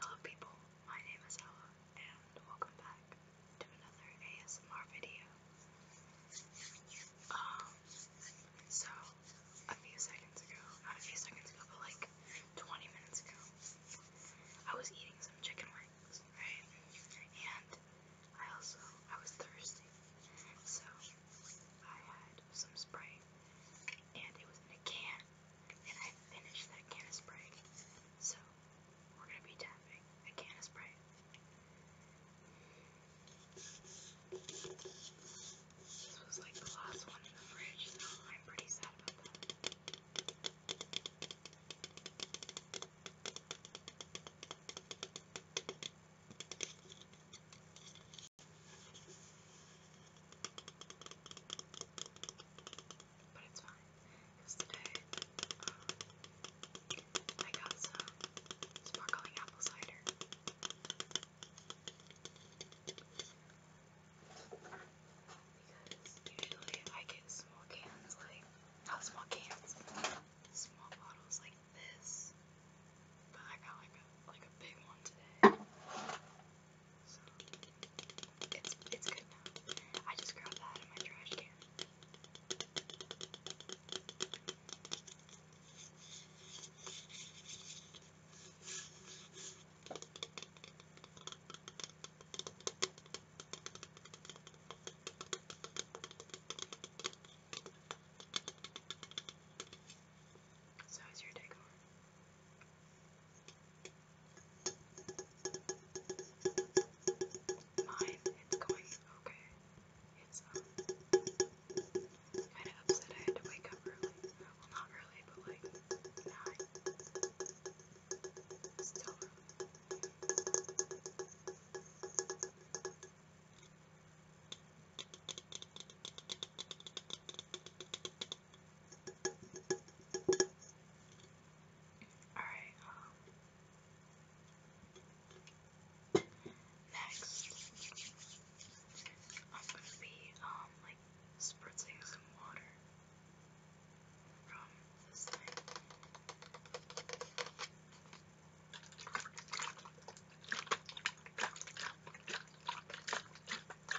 Hello people, my name is Ella and welcome back to another ASMR video. Um, so a few seconds ago, not a few seconds ago, but like 20 minutes ago, I was eating some chicken wings, right? And I also, I was thirsty, so I had some spray, and it was in a can back and I finished that can of spray. So we're gonna be tapping a can of spray. This was like the last one in the fridge, so I'm pretty sad about that. But it's fine. Because today, um, I got some sparkling apple cider. Because usually I get small cans, like, not small cans, small bottles like this. But I got like a, like a big one today. It's it's good now. I just grabbed that out of my trash can. So how's your day going? Mine, it's going okay. It's um, kind of upset I had to wake up early. Well, not early, but like nine. Still early. Alright, um, next, I'm gonna be, um, like, spritzing some water from this thing.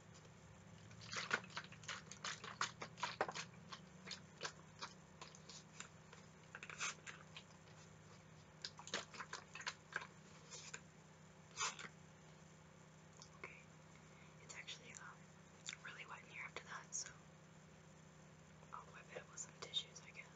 Okay. It's actually um really wet in here after that, so I'll wipe it up with some tissues, I guess.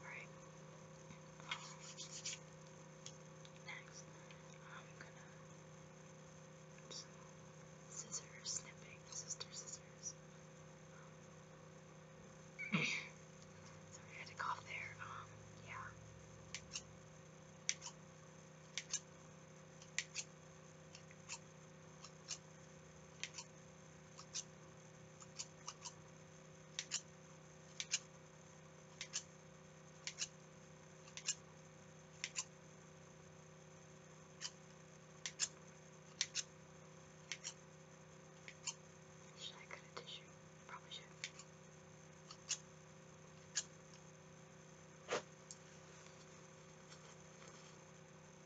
Alright. Um, next, I'm gonna just scissors snipping. Sister scissors. Um, sorry, I had to cough there. Um, yeah. Should I cut a tissue? Probably should.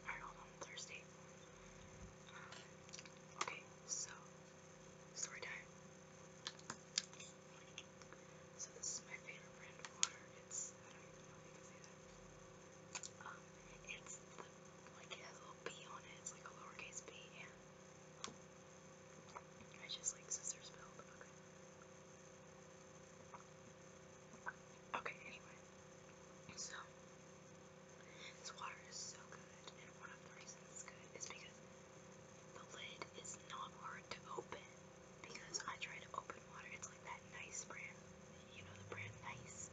Alright, hold on, Thursday. Um, okay, so story time. So this is my favorite brand of water. It's I don't even know if you can say that. Um, it's the, like it has a little B on it. It's like a lowercase B, yeah. I just like scissors build. Okay. Okay, anyway. So, this water is so good, and one of the reasons it's good is because the lid is not hard to open. Because I try to open water, it's like that nice brand, you know, the brand Nice,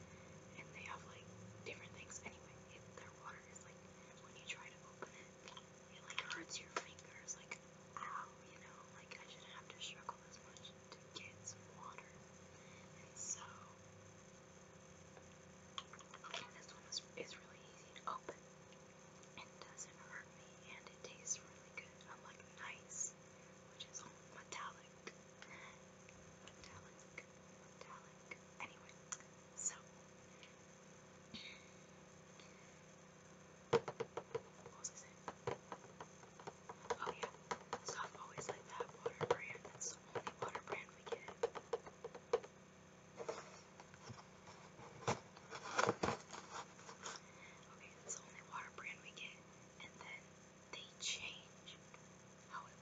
and they have like different things. Anyway, it, their water is like when you try to open it, it like hurts your fingers, like ow, you know, like I shouldn't have to struggle as much to get some water. And so this one is, is really easy to open. It doesn't hurt me and it tastes really good. I like nice, which is metallic. Metallic, metallic. Anyway, Oh yeah. So I've always liked that water brand. That's the only water brand we get. Okay, that's the only water brand we get. And then they changed how it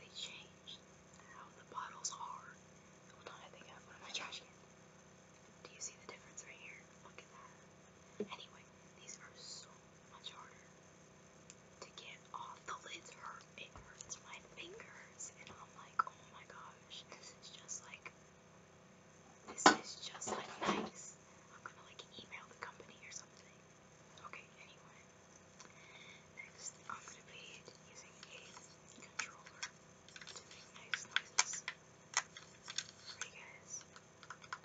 They changed how oh, the bottles are. Hold on, I think I have one in my trash can. Do you see the difference right here? Look at that. Anyway, these are so much harder to get off. The lids hurt. It hurts my fingers. And I'm like, oh my gosh, this is just like, this is just like nice. I'm gonna like email the company or something. Okay, anyway. Next, I'm gonna be using a controller to make nice noises for you guys. I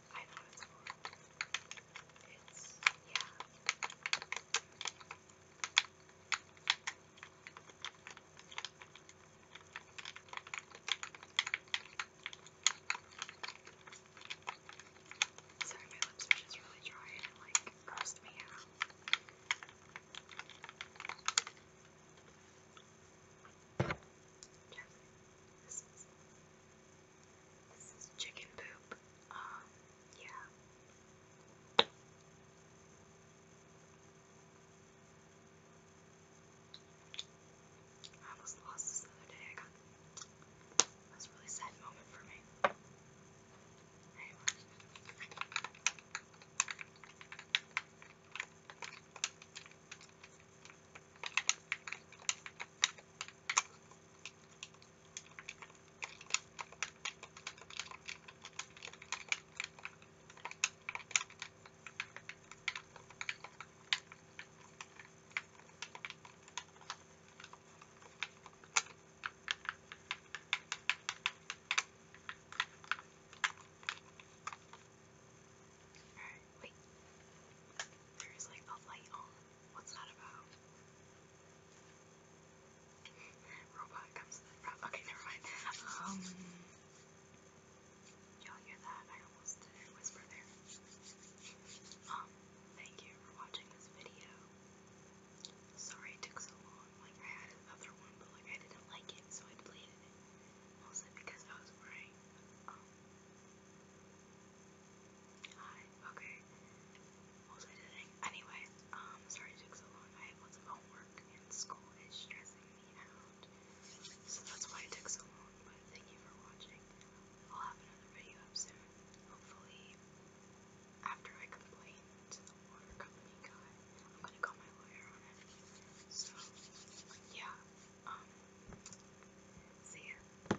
wrong. I know it's wrong. It's, yeah. Sorry, my lips are just really dry and it like grossed me out. Yes, this is this is chicken poop. Um, yeah. I almost lost this other day. I got that was really sad moment for me. Alright, wait. There is like a light on. What's that about? Robot comes to the front. Okay, never mind. Um, y'all hear that? I almost did whisper there. Um, thank you for watching this video. Sorry it took so long. Like, I had another one, but like, I didn't like it, so I deleted it. Mostly because I was wearing, um, okay. Anyway, um, sorry it took so long. I had lots of homework and school is stressing me out. So that's why it took so long, but thank you for watching. I'll have another video up soon. Hopefully, after I complain to the water company I'm gonna call my lawyer on it. So, yeah, um, see ya.